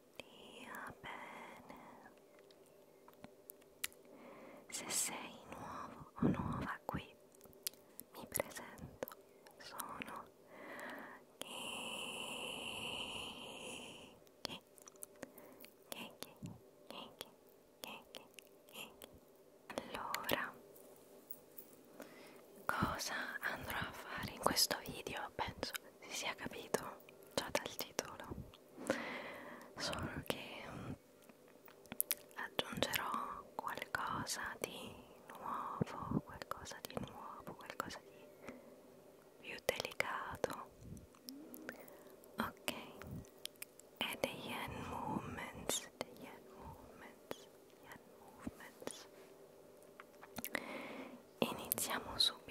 stia bene. Se sei nuovo o nuova qui, mi presento, sono Kiki. Kiki, Kiki, Kiki, Kiki. Allora, cosa andrò a fare in questo video? almeno penso si sia capito già dal titolo solo che mm, aggiungerò qualcosa di nuovo qualcosa di nuovo qualcosa di più delicato ok e the yen movements the yen movements yen movements iniziamo subito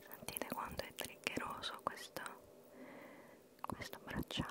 Sentite quanto è triggeroso questo, questo bracciale.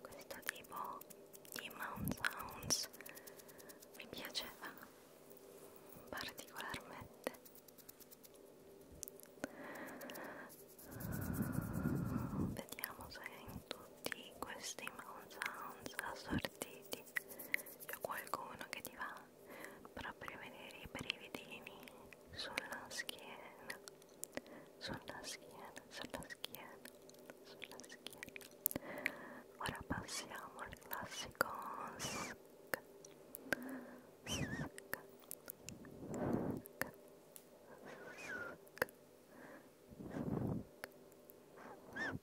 questo tipo di mount sounds mi piaceva particolarmente vediamo se in tutti questi mount sounds assortiti c'è qualcuno che ti va proprio a vedere i brividini sulla schiena sulla schiena sulla schiena sulla schiena ora passiamo al classico sc sc sc sc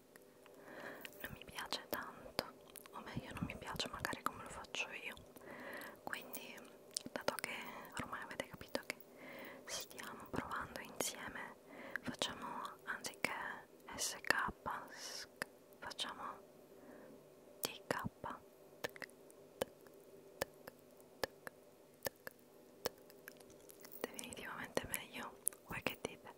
non mi piace tanto o meglio non mi piace magari come lo faccio io quindi dato che ormai avete capito che stiamo provando insieme facciamo anziché sk sk facciamo dk definitivamente meglio voi che dite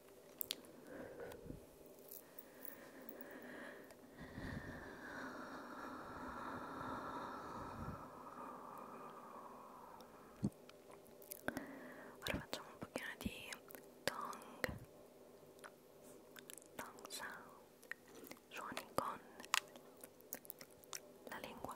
Ora facciamo un pochino di tong, tong sound, suoni con la lingua.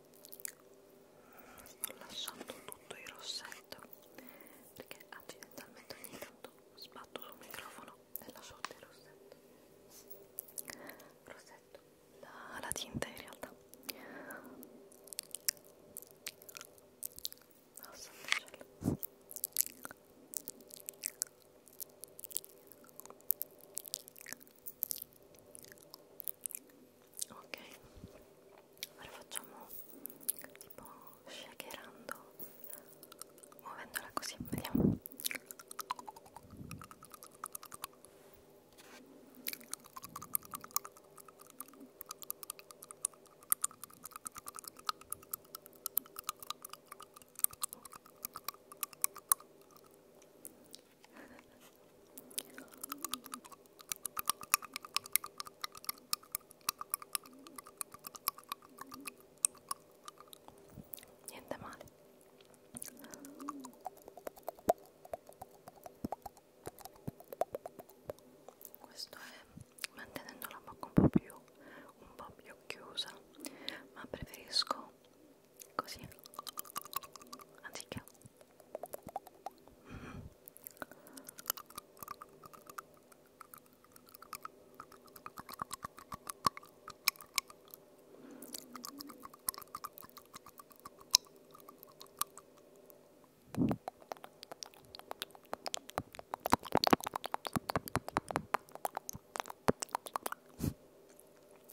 ho lasciato tutto il rossetto perché accidentalmente ogni tanto sbatto sul microfono e lascio tutto il rossetto rossetto la, la tinta in realtà oh santo cielo ok ora facciamo tipo shakerando muovendola così vediamo niente male questo è mantenendo la bocca un po' più un po' più chiusa ma preferisco così anziché mm.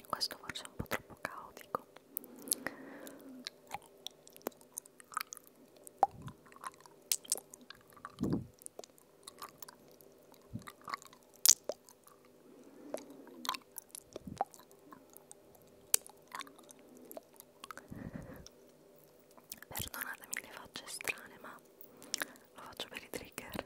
Questo forse è un po' troppo caotico. Perdonatemi le facce strane, ma lo faccio per i trigger.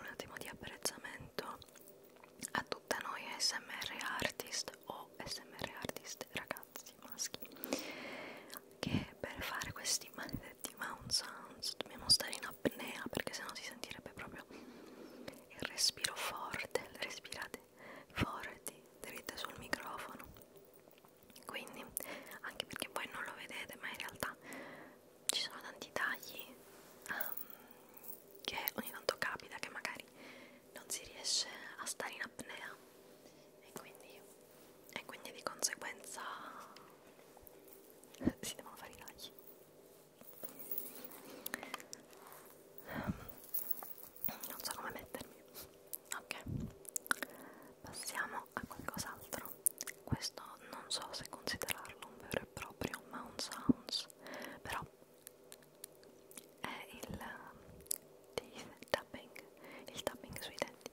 Un attimo di apprezzamento a tutta noi SMR artist o SMR artist ragazzi maschi che per fare questi maledetti mound sounds dobbiamo stare in apnea perché sennò si sentirebbe proprio il respiro forte, respirate forti, dritte sul microfono. Quindi, anche perché voi non lo vedete, ma in realtà ci sono tanti tagli um, che ogni tanto capita che magari non si riesce a stare in apnea e quindi, e quindi di conseguenza si devono fare i tagli non so come mettermi ok passiamo a qualcos'altro questo non so se considerarlo un vero e proprio Mount Sounds però è il teeth tapping il tapping sui denti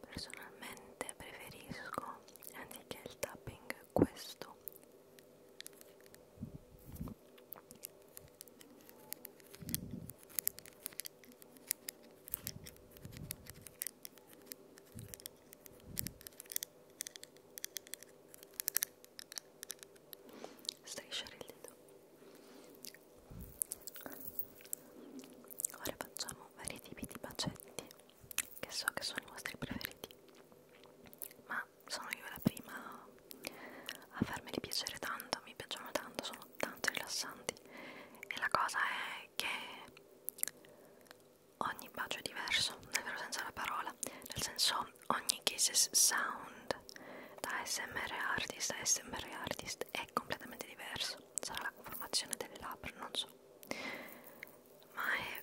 Personalmente preferisco anziché il tapping questo Strisciare il dito. Ora facciamo vari tipi di bacetti che so che sono i vostri preferiti, ma sono io la prima a farmeli piacere tanto, mi piacciono tanto, sono tanto rilassanti e la cosa è che ogni bacio è diverso, nel vero senso della parola, nel senso ogni kisses sound da smr artist a smr artist è completamente diverso, sarà la conformazione delle labbra, non so ma è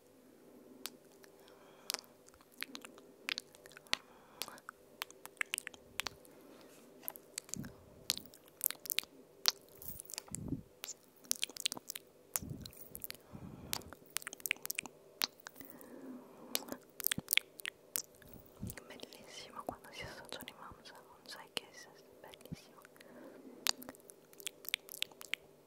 Bellissimo quando si associano i mamma, non sai che è bellissimo. E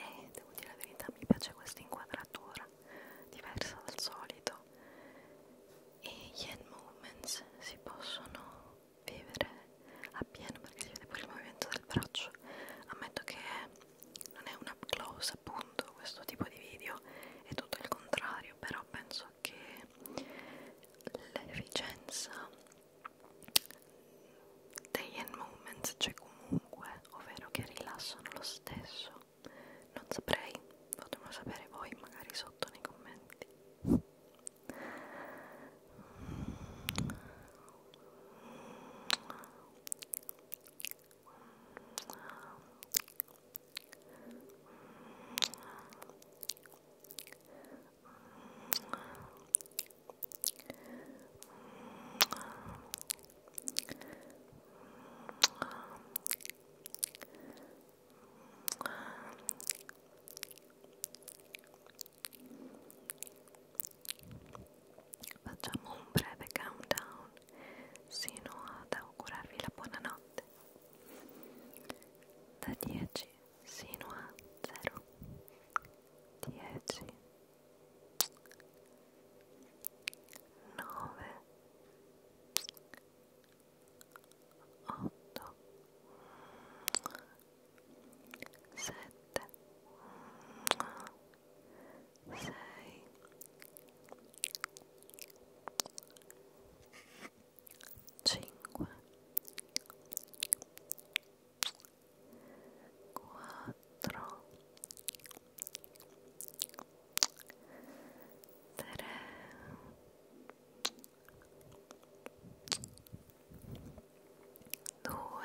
eh, devo dire la verità, mi piace questa inquadratura diversa dal solito. E gli end movements si possono vivere a pieno perché si vede pure il movimento del braccio. Ammetto che non è un up close, appunto, questo tipo di video, è tutto il contrario, però penso fatto che l'efficienza dei end movements c'è cioè comunque, ovvero che rilassano lo stesso. Non saprei, potemelo sapere voi magari sotto nei commenti. Facciamo un breve countdown sino ad augurarvi la buonanotte state da 10 sino a 0 10 9 8 7 6 5 4 3 2 1 cinque, quattro, tre, due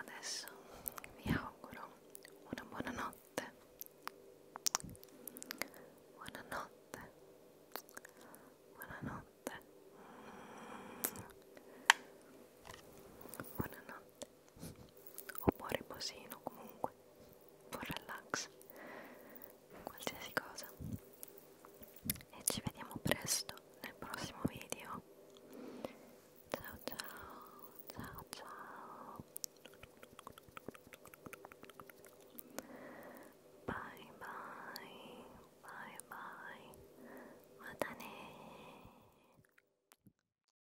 Adesso vi auguro una buona notte. Buonanotte. Buonanotte. Buonanotte un buon riposino comunque, un buon relax, qualsiasi cosa e ci vediamo presto nel prossimo video ciao ciao ciao ciao bye bye bye bye matane